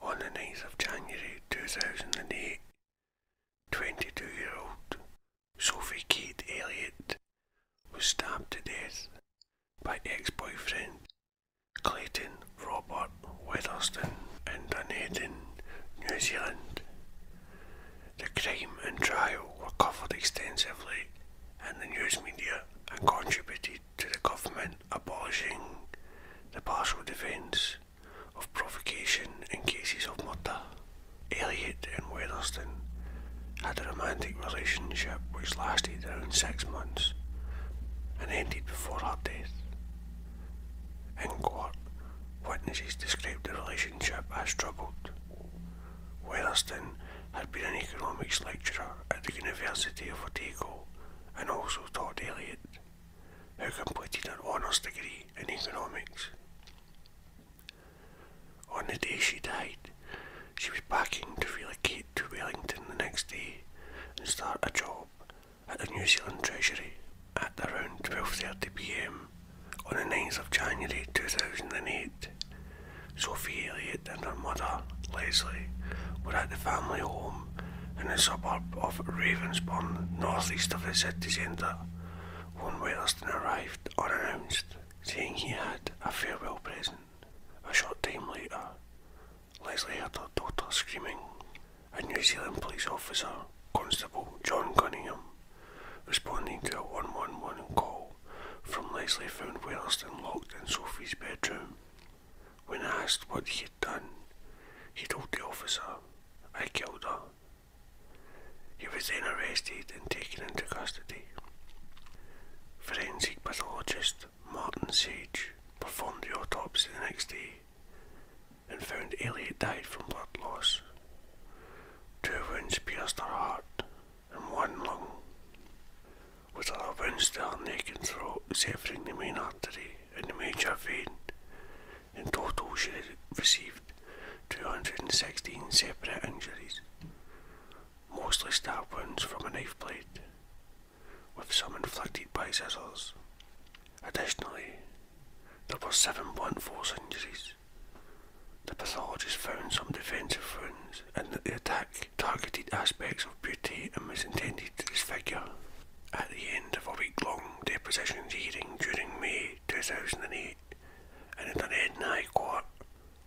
On the 9th of January 2008, 22-year-old Sophie Kate Elliott was stabbed to death by ex-boyfriend Clayton Robert Weatherston in Dunedin, New Zealand. The crime and trial were covered extensively in the news media and contributed to the government abolishing the partial defence of provocation in cases of murder. Elliot and Weatherston had a romantic relationship which lasted around six months and ended before her death. In court, witnesses described the relationship as troubled Weatherston had been an economics lecturer at the University of Otago and also taught Eliot, who completed an honours degree in economics. On the day she died, she was packing to relocate to Wellington the next day and start a job at the New Zealand Treasury at around 12.30pm on the 9th of January 2008. Sophie Elliott and her mother, Leslie, were at the family home in the suburb of Ravensbourne, northeast of the city centre, when Wetherston arrived unannounced, saying he had a farewell present. A short time later, Leslie heard her daughter screaming. A New Zealand police officer, Constable John Cunningham, responding to a 111 call, from Leslie found Weatherston locked in Sophie's bedroom. When asked what he had done, he told the officer, I killed her. He was then arrested and taken into custody. Forensic pathologist Martin Sage performed the autopsy the next day and found Elliot died from blood loss. Two wounds pierced her heart and one lung, with a labyrinth down neck and throat severing the main artery and the major vein. In total, she received 216 separate injuries, mostly stab wounds from a knife blade, with some inflicted by scissors. Additionally, there were seven blunt force injuries, the pathologist found some defensive wounds and that the attack targeted aspects of beauty and was intended to disfigure. At the end of a week long deposition hearing during May 2008 and in an Edinburgh High Court,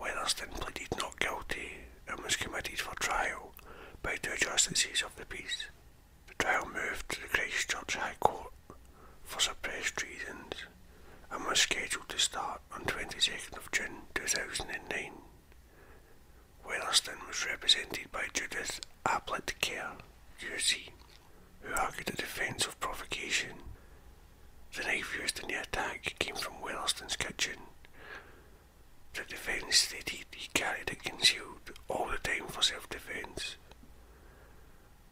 Weatherston pleaded not guilty and was committed for trial by two justices of the peace. The trial moved to the Christchurch High Court for suppressed reasons and was scheduled to start on 22nd of June 2009. Weatherston was represented by Judith Ablett Kerr, UC, who argued a defence of provocation. The knife used in the attack came from Weatherston's kitchen. The defence stated he carried it concealed all the time for self-defence.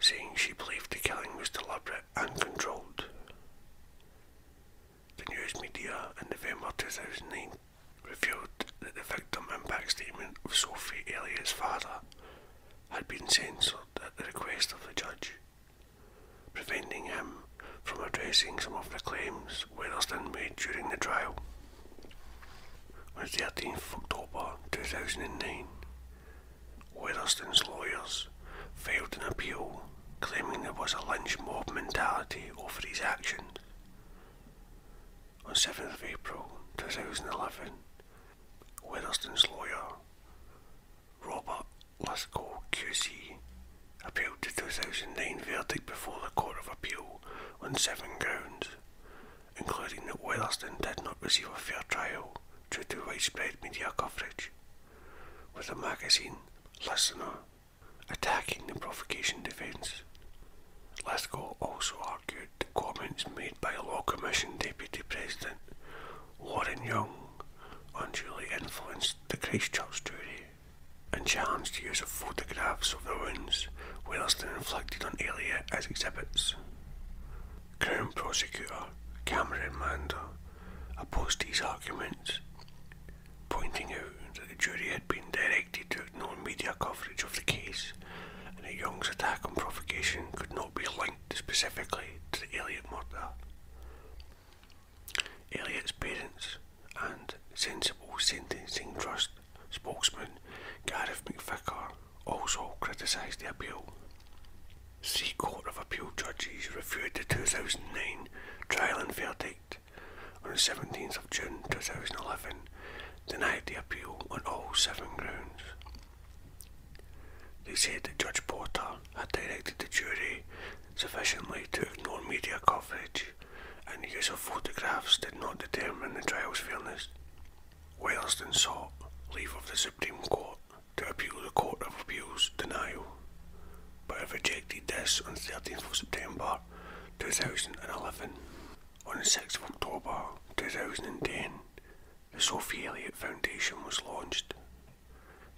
saying she believed the killing was deliberate and controlled. The news media in November 2009 revealed that the victim impact statement of Sophie Elliot's father had been censored at the request of the judge, preventing him from addressing some of the claims Weatherston made during the trial on 13 October 2009. Weatherston's lawyers filed an appeal claiming there was a lynch mob mentality over his actions. On 7 April 2011, Weatherston's lawyer, Robert Lascaux QC, appealed the 2009 verdict before the Court of Appeal on seven grounds, including that Weatherston did not receive a fair trial due to widespread media coverage, with the magazine Listener attacking the provocation defence. Lithgow also argued that comments made by Law Commission Deputy President Warren Young unduly influenced the Christchurch jury and challenged the use of photographs of the wounds whereas they inflicted on Elliot as exhibits. Crown prosecutor Cameron Mander opposed these arguments, pointing out that the jury had been directed to ignore media coverage of the case and that Young's attack on provocation could not be linked specifically to the Elliot murder. Elliot's parents and Sensible Sentencing Trust spokesman Gareth McVicar also criticised the appeal. Sea Court of Appeal judges reviewed the 2009 trial and verdict on the 17th of June 2011, denied the appeal on all seven grounds. They said that Judge Porter had directed the jury sufficiently to ignore media coverage and the use of photographs did not determine the trial's fairness. Weatherston sought leave of the Supreme Court to appeal the Court of Appeal's denial, but it rejected this on 13th September 2011. On 6 October 2010, the Sophie Elliott Foundation was launched.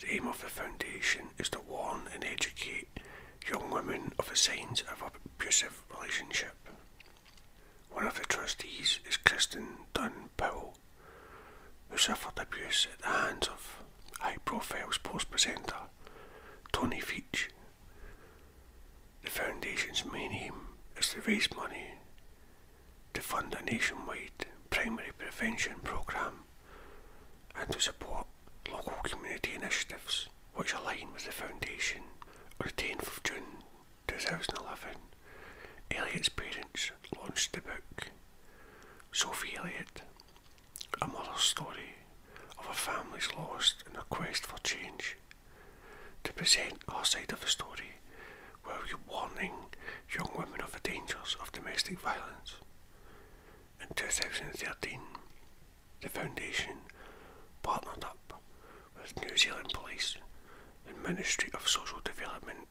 The aim of the foundation is to warn and educate young women of the signs of abusive relationships. One of the trustees is Kristen Dunn Powell, who suffered abuse at the hands of a Profiles post presenter Tony Veach. The foundation's main aim is to raise money to fund a nationwide primary prevention programme and to support local community initiatives which align with the foundation. On the 10th of June 2011, Elliot's parents launched the book Sophie Elliot, a mother's story of a family's loss and a quest for change. To present our side of the story, where we're warning young women of the dangers of domestic violence. In 2013, the Foundation partnered up with New Zealand Police and Ministry of Social Development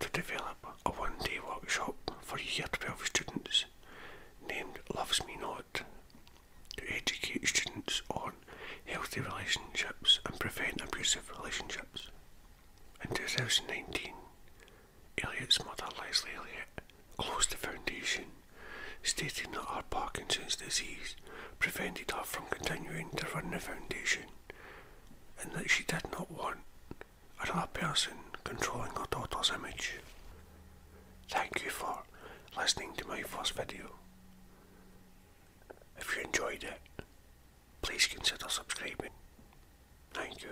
to develop a one day workshop for Year 12 students named Loves Me Not to educate students on healthy relationships and prevent abusive relationships. In 2019, Elliot's mother, Leslie Elliot, closed the foundation stating that her Parkinson's disease prevented her from continuing to run the foundation and that she did not want another person controlling her daughter's image. Thank you for listening to my first video. If you enjoyed it, please consider subscribing. Thank you.